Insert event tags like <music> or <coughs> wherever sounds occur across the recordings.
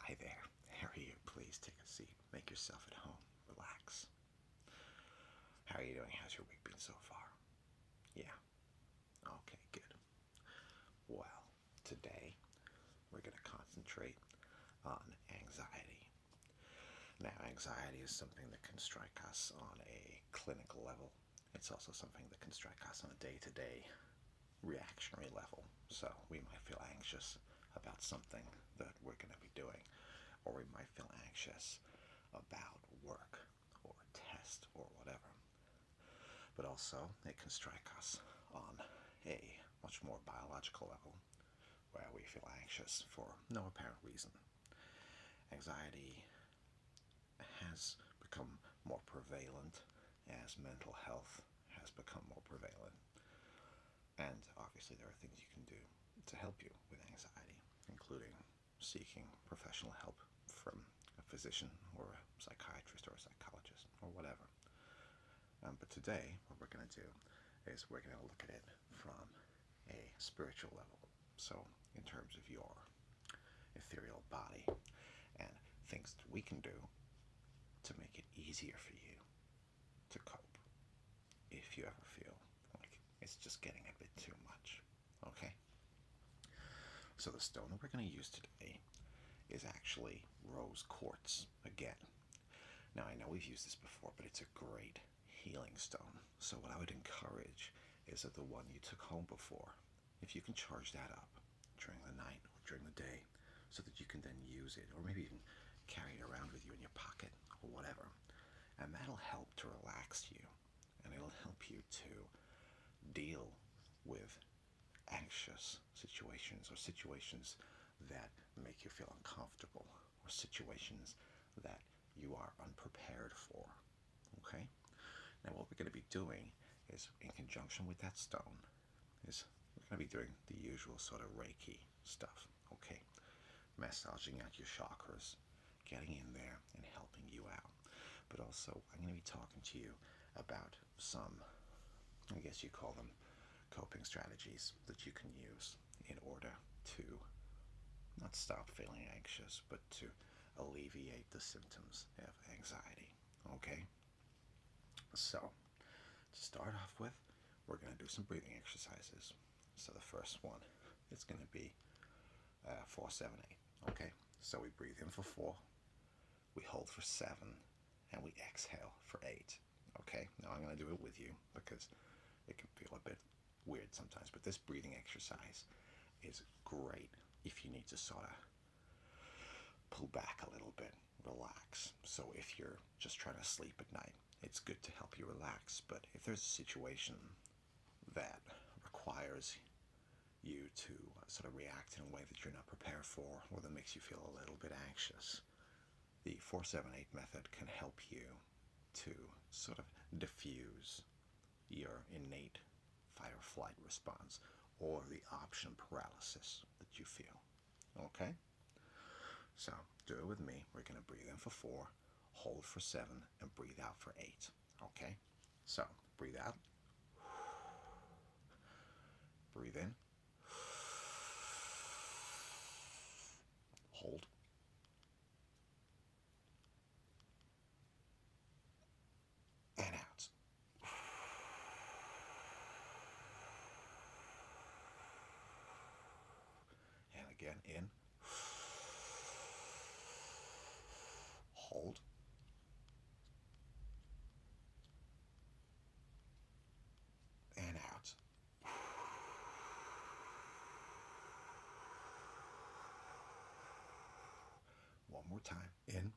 Hi there. How are you? Please take a seat. Make yourself at home. Relax. How are you doing? How's your week been so far? Yeah. Okay, good. Well, today we're going to concentrate on anxiety. Now, anxiety is something that can strike us on a clinical level. It's also something that can strike us on a day to day reactionary level. So we might feel anxious about something that we're going to be doing, or we might feel anxious about work or test or whatever. But also, it can strike us on a much more biological level where we feel anxious for no apparent reason. Anxiety has become more prevalent as mental health has become more prevalent. And obviously, there are things you can do to help you with anxiety, including seeking professional help from a physician or a psychiatrist or a psychologist or whatever. Um, but today, what we're going to do is we're going to look at it from a spiritual level. So, in terms of your ethereal body and things that we can do to make it easier for you to cope if you ever feel like it's just getting a bit too much. Okay? So, the stone that we're going to use today is actually rose quartz again. Now, I know we've used this before, but it's a great healing stone. So, what I would encourage is that the one you took home before if you can charge that up during the night or during the day so that you can then use it or maybe even carry it around with you in your pocket or whatever and that'll help to relax you and it'll help you to deal with anxious situations or situations that make you feel uncomfortable or situations that you are unprepared for okay now what we're going to be doing is in conjunction with that stone is we're going to be doing the usual sort of Reiki stuff, okay? Massaging out your chakras, getting in there and helping you out. But also, I'm going to be talking to you about some, I guess you call them coping strategies that you can use in order to not stop feeling anxious, but to alleviate the symptoms of anxiety, okay? So, to start off with, we're going to do some breathing exercises. So, the first one is going to be uh, four, seven, eight. Okay, so we breathe in for four, we hold for seven, and we exhale for eight. Okay, now I'm going to do it with you because it can feel a bit weird sometimes, but this breathing exercise is great if you need to sort of pull back a little bit, relax. So if you're just trying to sleep at night, it's good to help you relax. But if there's a situation that requires you to sort of react in a way that you're not prepared for or that makes you feel a little bit anxious, the 478 method can help you to sort of diffuse your innate fight or flight response or the option paralysis that you feel. Okay? So do it with me. We're going to breathe in for four, hold for seven, and breathe out for eight. Okay? So breathe out. Breathe in. Hold and out. And again, in. Hold. And out. One more time. In.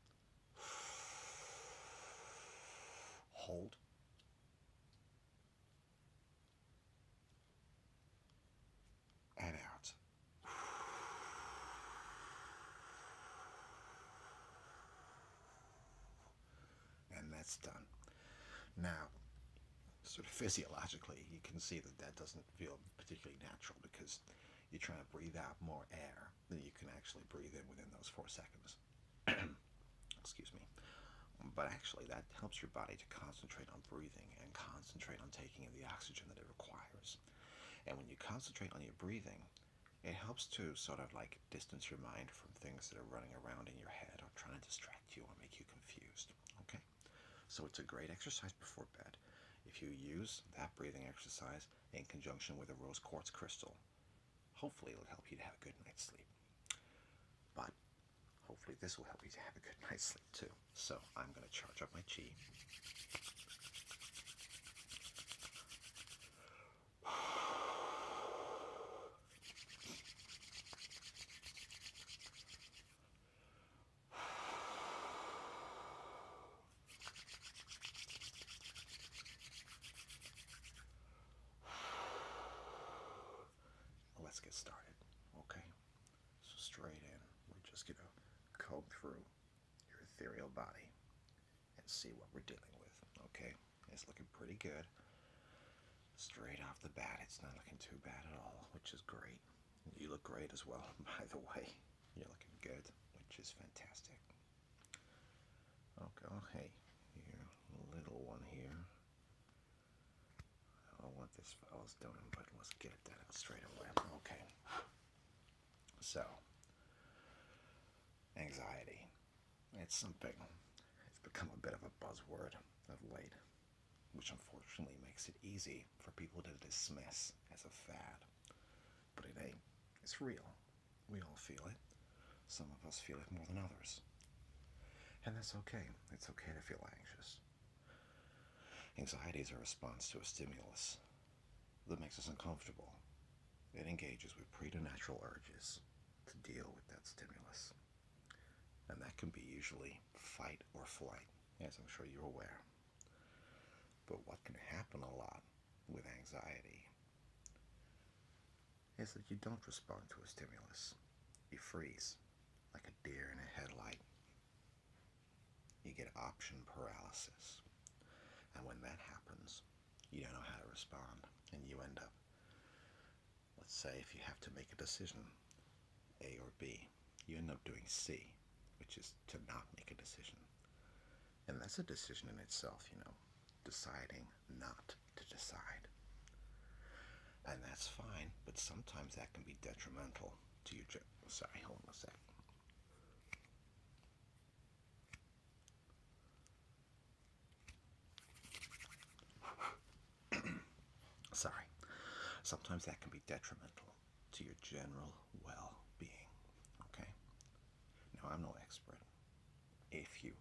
Hold. And out. And that's done. Now, sort of physiologically, you can see that that doesn't feel particularly natural because you're trying to breathe out more air air that you can actually breathe in within those four seconds. <clears throat> Excuse me. But actually, that helps your body to concentrate on breathing and concentrate on taking in the oxygen that it requires. And when you concentrate on your breathing, it helps to sort of like distance your mind from things that are running around in your head or trying to distract you or make you confused. Okay? So it's a great exercise before bed. If you use that breathing exercise, in conjunction with a rose quartz crystal. Hopefully, it'll help you to have a good night's sleep. But hopefully, this will help you to have a good <laughs> night's sleep too. So, I'm going to charge up my chi. <sighs> <sighs> <sighs> Let's get started, okay? So straight in, we're just gonna comb through your ethereal body and see what we're dealing with, okay? It's looking pretty good. Straight off the bat, it's not looking too bad at all, which is great. You look great as well, <laughs> by the way. You're looking good, which is fantastic. Okay, oh, hey, here, little one here. I want this fellow's doing, but let's get it done straight away. Okay. So, anxiety. It's something, it's become a bit of a buzzword of late, which unfortunately makes it easy for people to dismiss as a fad. But it ain't. It's real. We all feel it. Some of us feel it more than others. And that's okay. It's okay to feel anxious. Anxiety is a response to a stimulus that makes us uncomfortable. It engages with preternatural urges to deal with that stimulus. And that can be usually fight or flight, as I'm sure you're aware. But what can happen a lot with anxiety is that you don't respond to a stimulus. You freeze like a deer in a headlight. You get option paralysis. And when that happens, you don't know how to respond. And you end up, let's say, if you have to make a decision, A or B, you end up doing C which is to not make a decision. And that's a decision in itself, you know, deciding not to decide. And that's fine, but sometimes that can be detrimental to your trip. Sorry, hold on a sec. <coughs> Sorry. Sometimes that can be detrimental to your general well being. Okay? Now, I'm no expert. If you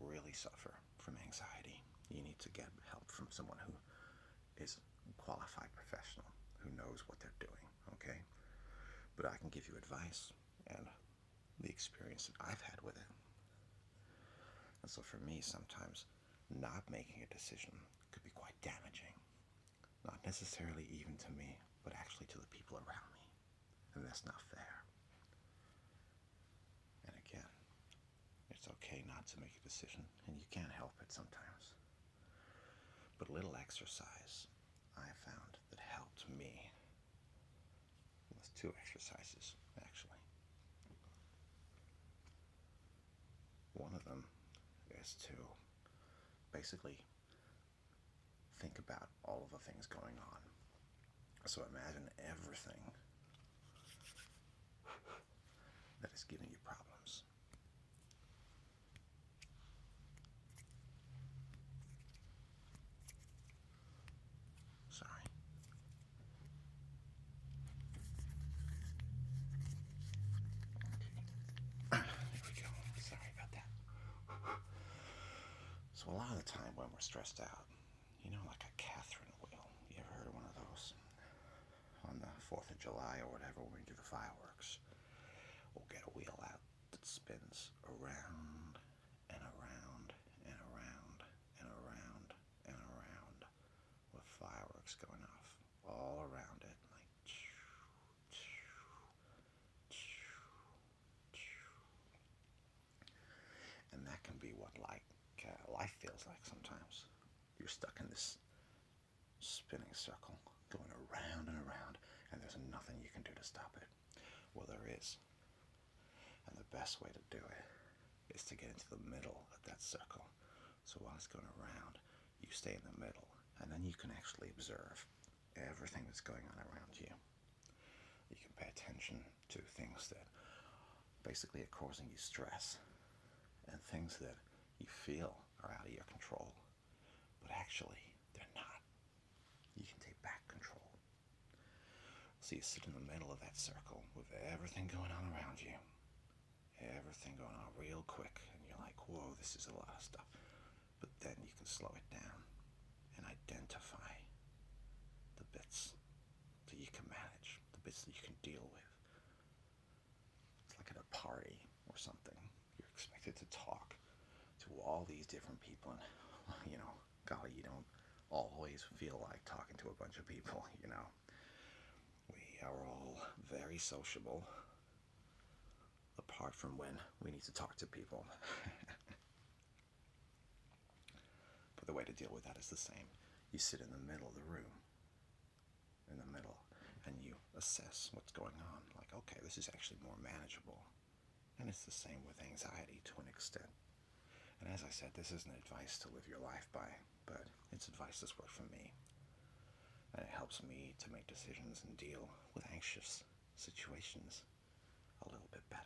really suffer from anxiety, you need to get help from someone who is qualified professional who knows what they're doing, okay? But I can give you advice and the experience that I've had with it. And so for me, sometimes not making a decision could be quite damaging. Not necessarily even to me, but actually to the people around me. And that's not fair. And again, it's okay not to make a decision, and you can't help it sometimes. But a little exercise I found that helped me. With two exercises, actually. One of them is to basically think about all of the things going on. So imagine everything that is giving you problems. Sorry. <laughs> So, a lot of the time when we're stressed out, you know, like a Catherine wheel. You ever heard of one of those? On the 4th of July or whatever, when we do the fireworks, we'll get a wheel out that spins around and around and around and around and around with fireworks going off all around it. Like, and that can be what like uh, life feels like sometimes. You're stuck in this spinning circle, going around and around, and there's nothing you can do to stop it. Well, there is. And the best way to do it is to get into the middle of that circle so while it's going around, you stay in the middle, and then you can actually observe everything that's going on around you. You can pay attention to things that basically are causing you stress and things that you feel are out of your control, but actually they're not. You can take back control. So you sit in the middle of that circle with everything going on around you, everything going on real quick, and you're like, whoa, this is a lot of stuff. But then you can slow it down and identify the bits that you can manage, the bits that you can deal with. It's like at a party or something. You're expected to talk to all these different people, and <laughs> you know, golly, you don't always feel like talking to a bunch of people, <laughs> you know. We are all very sociable, apart from when we need to talk to people. <laughs> but the way to deal with that is the same. You sit in the middle of the room, in the middle, and you assess what's going on. Like, okay, this is actually more manageable. And it's the same with anxiety to an extent. And as I said, this isn't advice to live your life by, but it's advice that's worked for me. And it helps me to make decisions and deal with anxious situations a little bit better.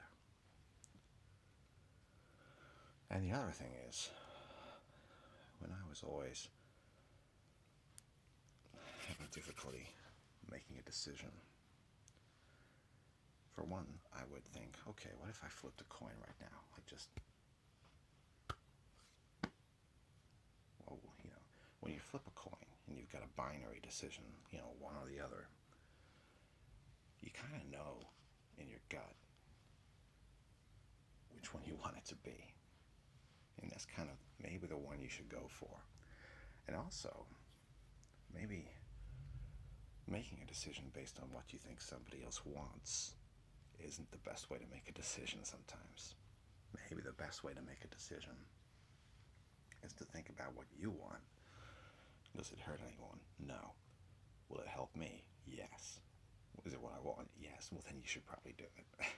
And the other thing is, when I was always having difficulty making a decision, for one, I would think, okay, what if I flip the coin right now? Like just well, you know, when you flip a coin and you've got a binary decision, you know, one or the other, you kind of know in your gut which one you <laughs> want it to be. And that's kind of maybe the one you should go for. And also, maybe making a decision based on what you think somebody else wants isn't the best way to make a decision sometimes. Maybe the best way to make a decision is to think about what you want. Does it hurt anyone? No. Will it help me? Yes. Is it what I want? Yes. Well, then you should probably do it. <laughs>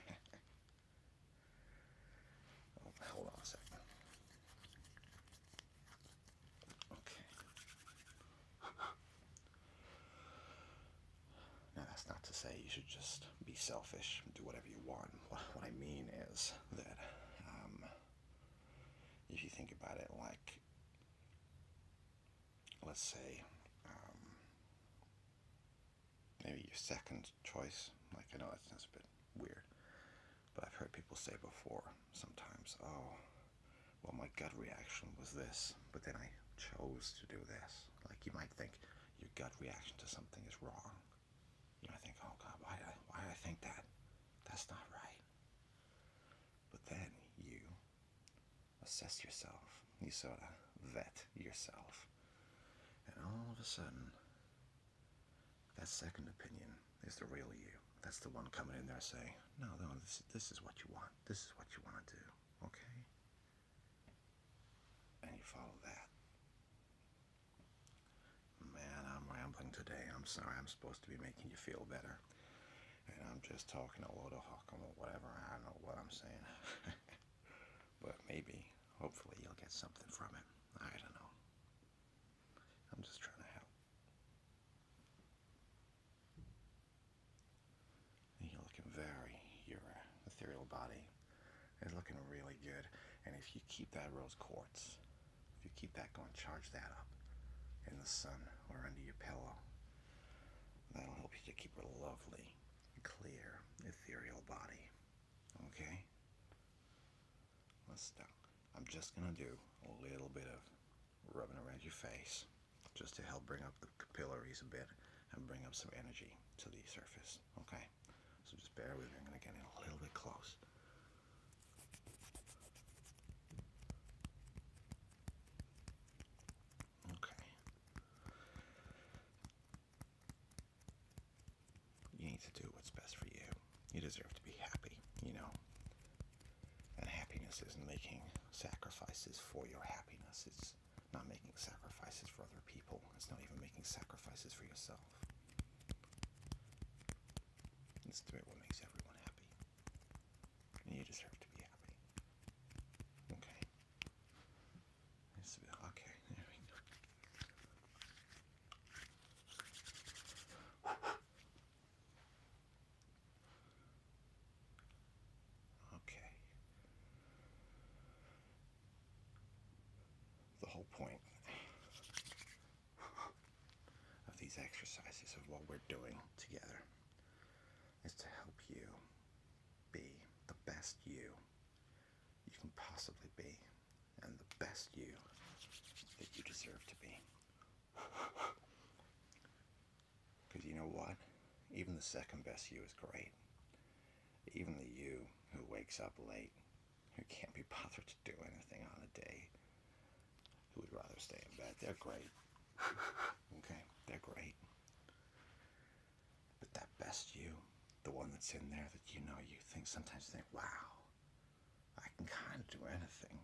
Oh, hold on a second. Okay. Now, that's not to say you should just be selfish and do whatever you want. What, I mean is that um, if you think about it, like, let's say, um, maybe your second choice, like, I know that sounds a bit weird, but I've heard people say before sometimes, oh, well, my gut reaction was this, but then I chose to do this. Like you might think your gut reaction to something is wrong. You might think, oh God, why I, why did I think that? That's not right. But then you assess yourself. You sort of vet yourself. And all of a sudden, that second opinion is the real you. That's the one coming in there saying, no, no, this is what you want. This is what you want to do. Okay? And you follow that. Man, I'm rambling today. I'm sorry. I'm supposed to be making you feel better. And I'm just talking a load of hokum or whatever. I don't know what I'm saying. <laughs> but maybe, hopefully, you'll get something from it. I don't know. I'm just trying to help. You're looking very, your ethereal body is looking really good. And if you keep that rose quartz, if you keep that going, charge that up in the sun or under your pillow. That'll help you to keep a lovely, clear, ethereal body. Okay? Let's stop. I'm just going to do a little bit of rubbing around your face just to help bring up the capillaries a bit and bring up some energy to the surface. Okay, so just bear with me. I'm going to get in a little bit close. Okay. You need to do what's best for you. You deserve to be happy, you know. And happiness isn't making sacrifices for your happiness. It's not making sacrifices for other people. It's not even making sacrifices for yourself. It's doing what makes everyone happy. And you deserve to be happy. Okay. okay, <laughs> there we go. Okay. The whole point of these exercises of what we're doing together is to help you be the best you you can possibly be and the best you that you deserve to be. Because you know what? Even the second best you is great. Even the you who wakes up late, who can't be bothered to do anything on a day, who would rather stay in bed, they're great. okay? They're great. But that best you, the one that's in there that you know you think sometimes you think, wow, I can kind of do anything.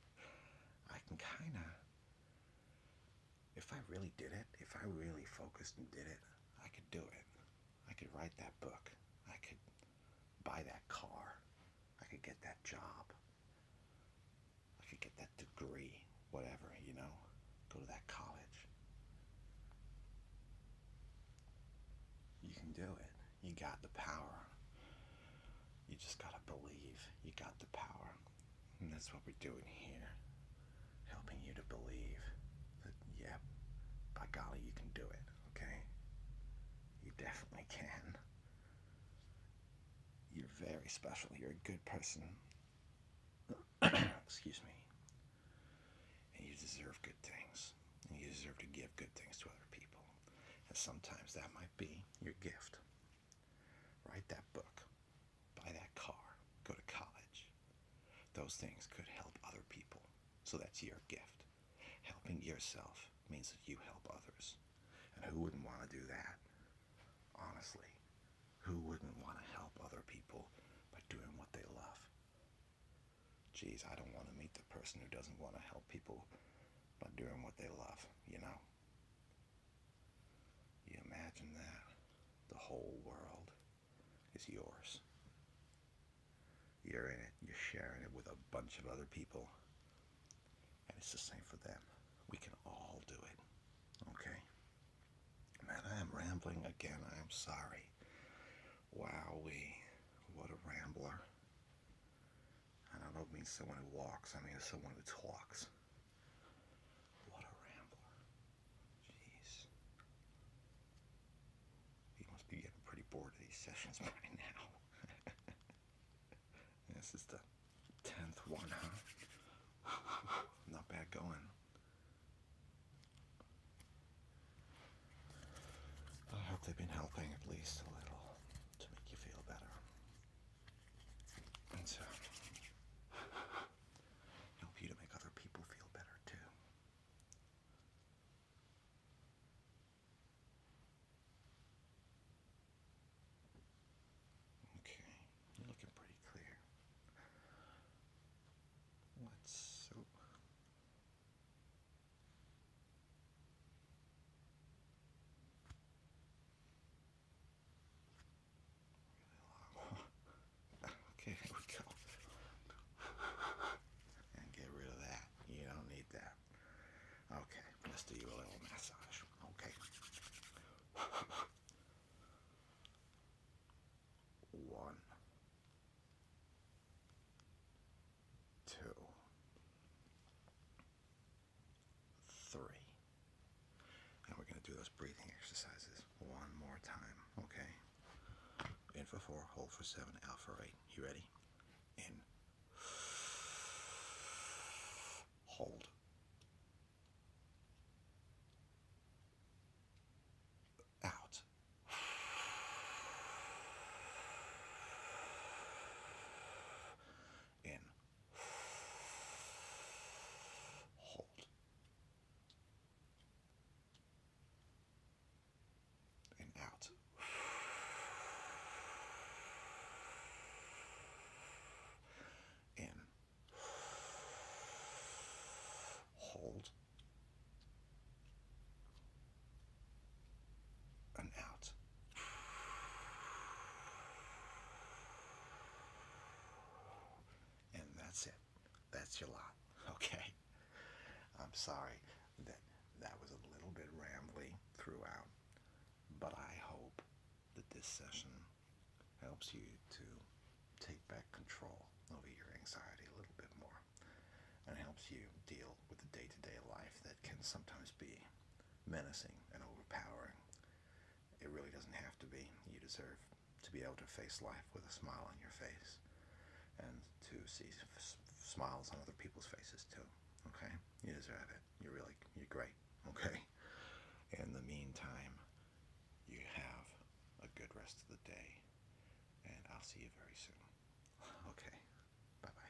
<laughs> I can kind of if I really did it, if I really focused and did it, I could do it. I could write that book. I could buy that car. I could get that job. I could get that degree, whatever, you know, go to that college. You can do it. You got the power. You just got to believe you got the power that's what we're doing here. Helping you to believe that, yeah, by golly, you can do it, okay? You definitely can. You're very special. You're a good person. <coughs> Excuse me. And you deserve good things. And you deserve to give good things to other people. And sometimes that might be your gift. Write that book, buy that car, go to college. Those things could help other people. So that's your gift. Helping yourself means that you help others. And who wouldn't want to do that? Honestly, who wouldn't want to help other people by doing what they love? Geez, I don't want to meet the person who doesn't want to help people by doing what they love, you know? You imagine that. The whole world is yours. You're in it, you're sharing it with a bunch of other people. And it's the same for them. We can all do it. Okay? Man, I am rambling again. I am sorry. Wowee. What a rambler. And I don't mean someone who walks, I mean someone who talks. What a rambler. Jeez. You must be getting pretty bored of these sessions <laughs> by now. <laughs> this is the 10th one, huh? <laughs> Not bad going. I hope they've been helping at least a little to make you feel better. And so, <laughs> help you to make other people feel better too. Okay, you're looking pretty clear. Let's so okay, here <laughs> we go. and get rid of that. You don't need that. Okay, let's do you a little massage. Okay. <laughs> One. Two three. And we're going to do those breathing exercises one more time, okay? In for four, hold for seven, out for eight. You ready? In. Hold. Out. In. Hold. And out. In. Hold. And out. And that's it. That's your lot. <laughs> Okay. I'm sorry that that was a little bit rambling throughout, but I hope that this session helps you to take back control over your anxiety a little bit more and helps you deal with the day to day life that can sometimes be menacing and overpowering. It really doesn't have to be. You deserve to be able to face life with a smile on your face and to see smiles on other people's faces too. Okay? You deserve it. You're really, you're great. Okay? In the meantime, you have a good rest of the day and I'll see you very soon. <laughs> Okay. Bye-bye.